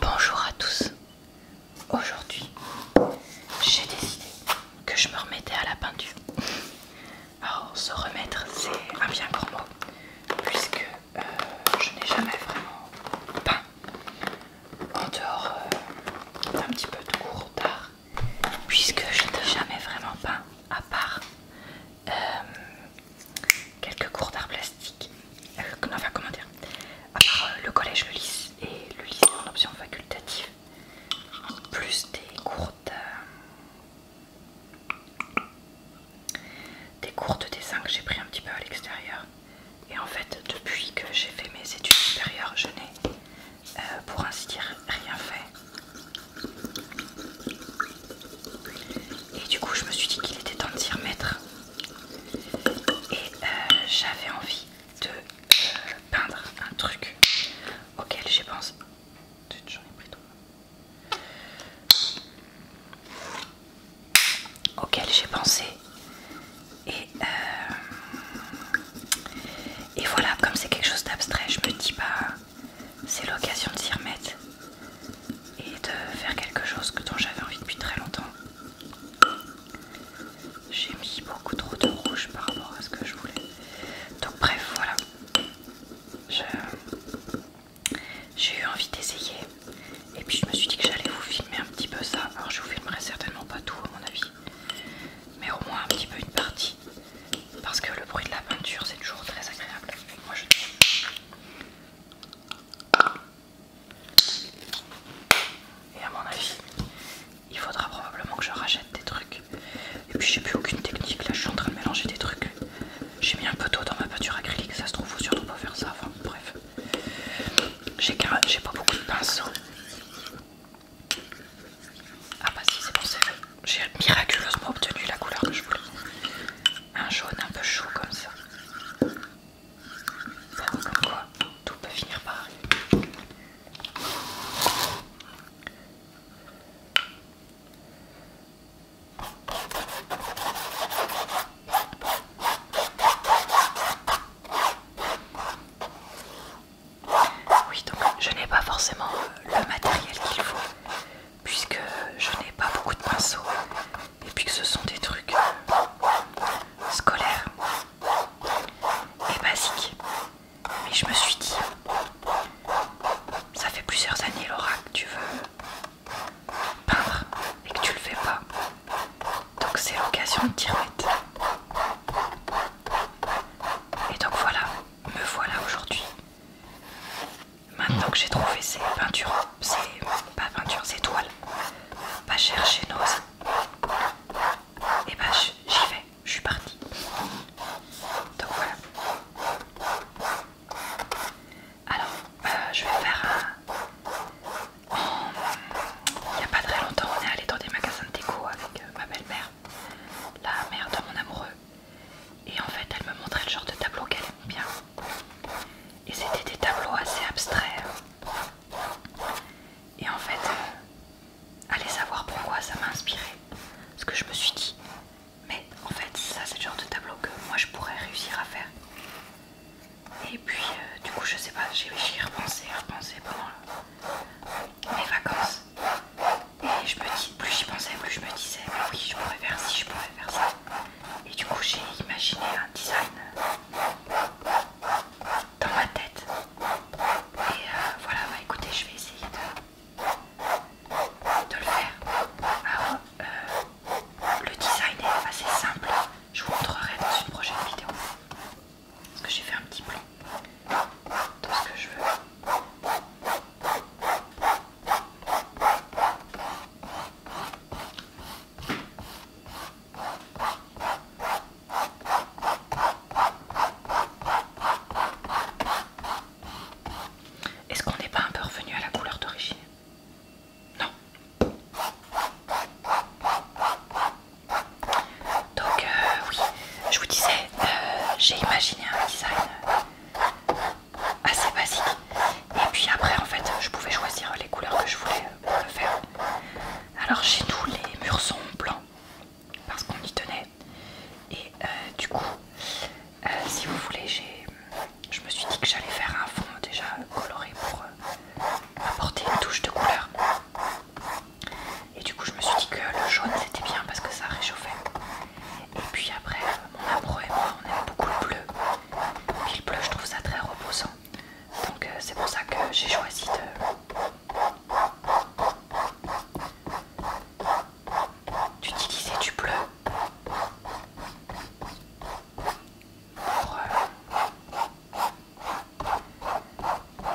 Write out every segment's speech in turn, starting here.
Bonjour à tous. Aujourd'hui, j'ai décidé que je me remettais à la peinture. Alors, se remettre, c'est un bien grand mot, puisque euh, je n'ai jamais vraiment peint en dehors euh, d'un petit peu de cours d'art, puisque je n'ai jamais vraiment peint à part euh, quelques cours d'art plastique, euh, enfin comment dire, à part euh, le collège, le lycée et le lycée en option facultative, En plus des cours de, des cours de dessin que j'ai pris un petit peu à l'extérieur. Et en fait, depuis que j'ai fait mes études supérieures, je n'ai, euh, pour ainsi dire, rien fait. Et du coup, je me suis dit qu'il était temps de s'y remettre et euh, j'avais envie de euh, peindre un truc auquel j'ai pensé. J'en ai pris Auquel j'ai pensé. Euh, et, voilà, comme c'est quelque chose d'abstrait, je me dis pas, bah, c'est l'occasion de s'y remettre et de faire quelque chose que dont j'avais envie depuis très longtemps. J'ai mis beaucoup trop de rouge par rapport à ce que je voulais. Donc bref, voilà. J'ai eu envie d'essayer. Et puis je me suis dit que j'allais vous filmer un petit peu ça. Alors je vous filmerai certainement pas tout à mon avis. Mais au moins un petit peu une partie. Parce que le bruit de la peinture c'est toujours très agréable. Moi je... Et à mon avis, il faudra probablement que je rachète des trucs. Et puis j'ai plus aucune technique, là je suis en train de mélanger des trucs. J'ai mis un peu d'eau dans ma peinture acrylique, ça se trouve faut surtout pas faire ça, enfin bref. J'ai pas beaucoup de pinceaux. Ah bah si c'est pour ça, J'ai miraculeusement obtenu la couleur que je voulais un jaune un peu chaud comme ça. Ça comme quoi, tout peut finir par arriver. Oui, donc je n'ai pas forcément euh, le matériel qu'il faut puisque je n'ai pas beaucoup de pinceaux et puis que ce sont des trucs scolaires et basiques. Mais je me suis dit, ça fait plusieurs années Laura que tu veux peindre et que tu le fais pas. Donc c'est l'occasion de t'y remettre. Et donc voilà, me voilà aujourd'hui Maintenant que j'ai trouvé ces peintures, ces, pas peintures, ces toiles, pas cher chez Et eh bah ben, j'y vais, je suis partie. Donc voilà. Alors, euh, je vais faire un... Il n'y a pas très longtemps, on est allé dans des magasins de déco avec euh, ma belle-mère, la mère de mon amoureux. Et en fait, elle me montrait le genre de tableau qu'elle aime bien. Et c'était des tableaux assez abstraits. Et en fait, euh, allez savoir pourquoi ça m'a inspiré. ce que je me suis dit, mais en fait, ça c'est le genre de tableau que moi je pourrais réussir à faire. Et puis, euh, du coup, je sais pas, j'ai repensé, repensé pendant mes vacances. Et je me dis, plus j'y pensais, plus je me disais, oui, je pourrais faire ci, je pourrais faire ça. Et du coup, j'ai imaginé un design dans ma tête. Et euh, voilà, bah, écoutez, je vais essayer de, le faire. Alors, euh, le design est assez simple. Je vous montrerai dans une prochaine vidéo. Parce que j'ai fait un petit plan de ce que je veux. Est-ce qu'on n'est pas un peu revenu à la couleur d'origine Non. Donc euh, oui, je vous disais, euh, j'ai imaginé un design assez basique. Et puis après, en fait, je pouvais choisir les couleurs que je voulais euh, faire. Alors chez nous, les murs sont blancs parce qu'on y tenait. Et euh, du coup, euh, si vous voulez, je me suis dit que j'allais faire un fond déjà coloré pour apporter une touche de couleur. Et du coup, je me suis dit que le jaune c'était bien parce que ça réchauffait. Et puis après, mon amoureux et moi, on aime beaucoup le bleu puis il je trouve ça très reposant. Donc euh, c'est pour ça que j'ai choisi d'utiliser du bleu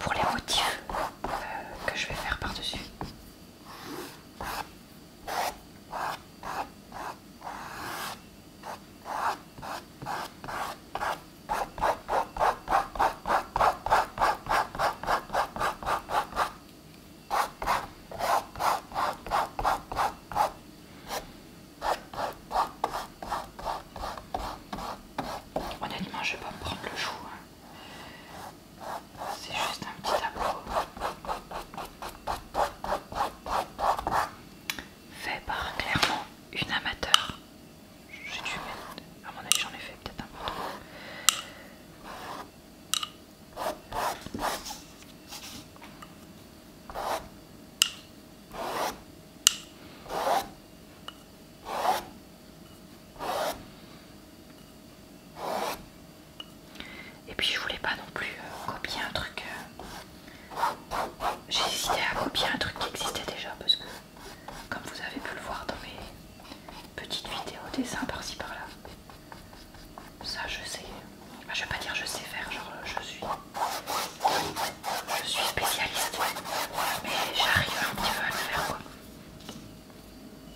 pour, euh, les motifs euh, que je vais faire par-dessus. Honnêtement, je vais pas me prendre le chou. Hein. C'est juste un petit tableau. Fait par clairement une amateur. J'ai dû mettre... À mon avis j'en ai fait peut-être un peu. Et puis je voulais pas non plus euh, copier un truc. Euh, j'ai hésité à copier un truc qui existait déjà parce que, comme vous avez pu le voir dans mes petites vidéos dessins par-ci par-là, ça je sais. je vais pas dire je sais faire, genre je suis. Je suis spécialiste, mais j'arrive un petit peu à le faire quoi.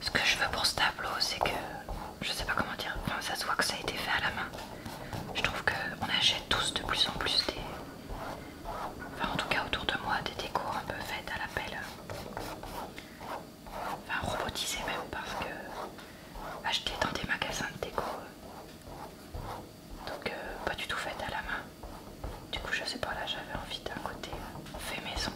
Ce que je veux pour ce tableau, c'est que je sais pas comment dire, enfin ça se voit que ça a été fait à la main. Je trouve qu'on achète tous de plus en plus des. Enfin en tout cas autour de moi des décors un peu faites à pelle Enfin robotisées même parce que acheter dans des magasins de déco. Euh, donc euh, pas du tout faites à la main. Du coup je sais pas là j'avais envie d'un côté fait maison.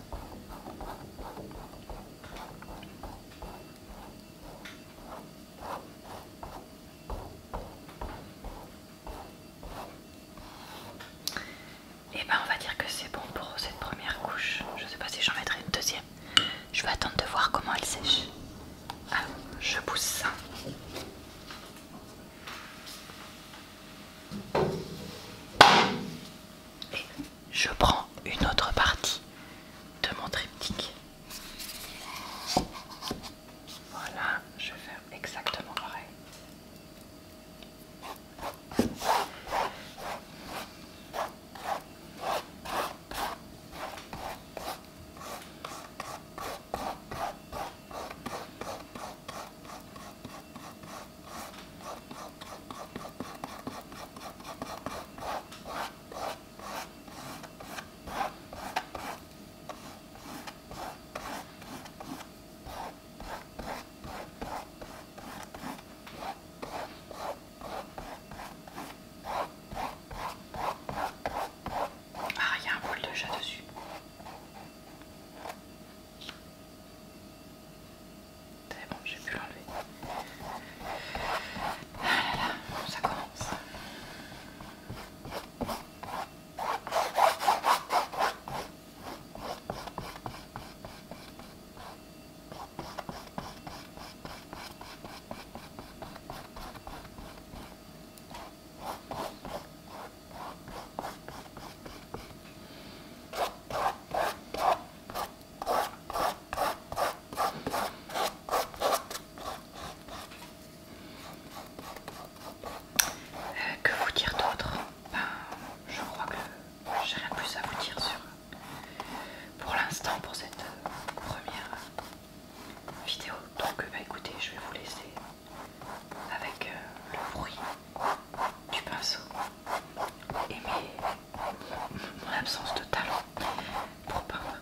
Et eh ben on va dire que c'est bon pour cette première couche. Je sais pas si j'en mettrai une deuxième. Je vais attendre de voir comment elle sèche. Alors, je pousse ça je prends une autre partie de mon triptyque. Voilà, je fais exactement pareil. Ah, il y a un poil de chat dessus. C'est bon, j'ai pu l'enlever. Ah là là, ça commence. Euh, que vous dire d'autre ben, Je crois que j'ai rien plus à vous dire sur, pour l'instant pour cette euh, première vidéo. Donc euh, bah, écoutez, je vais vous laisser avec le bruit du pinceau et mon absence de talent pour peindre.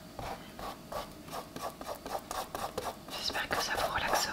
J'espère que ça vous relaxera.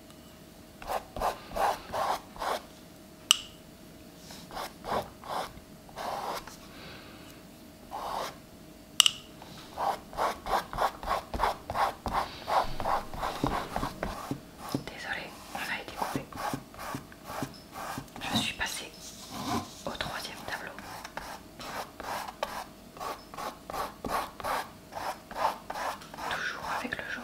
Désolée, on a été coupé. Je suis passée au troisième tableau. Toujours avec le jaune.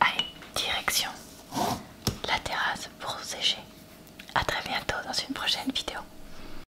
Allez, direction la terrasse pour sécher. A très bientôt dans une prochaine vidéo.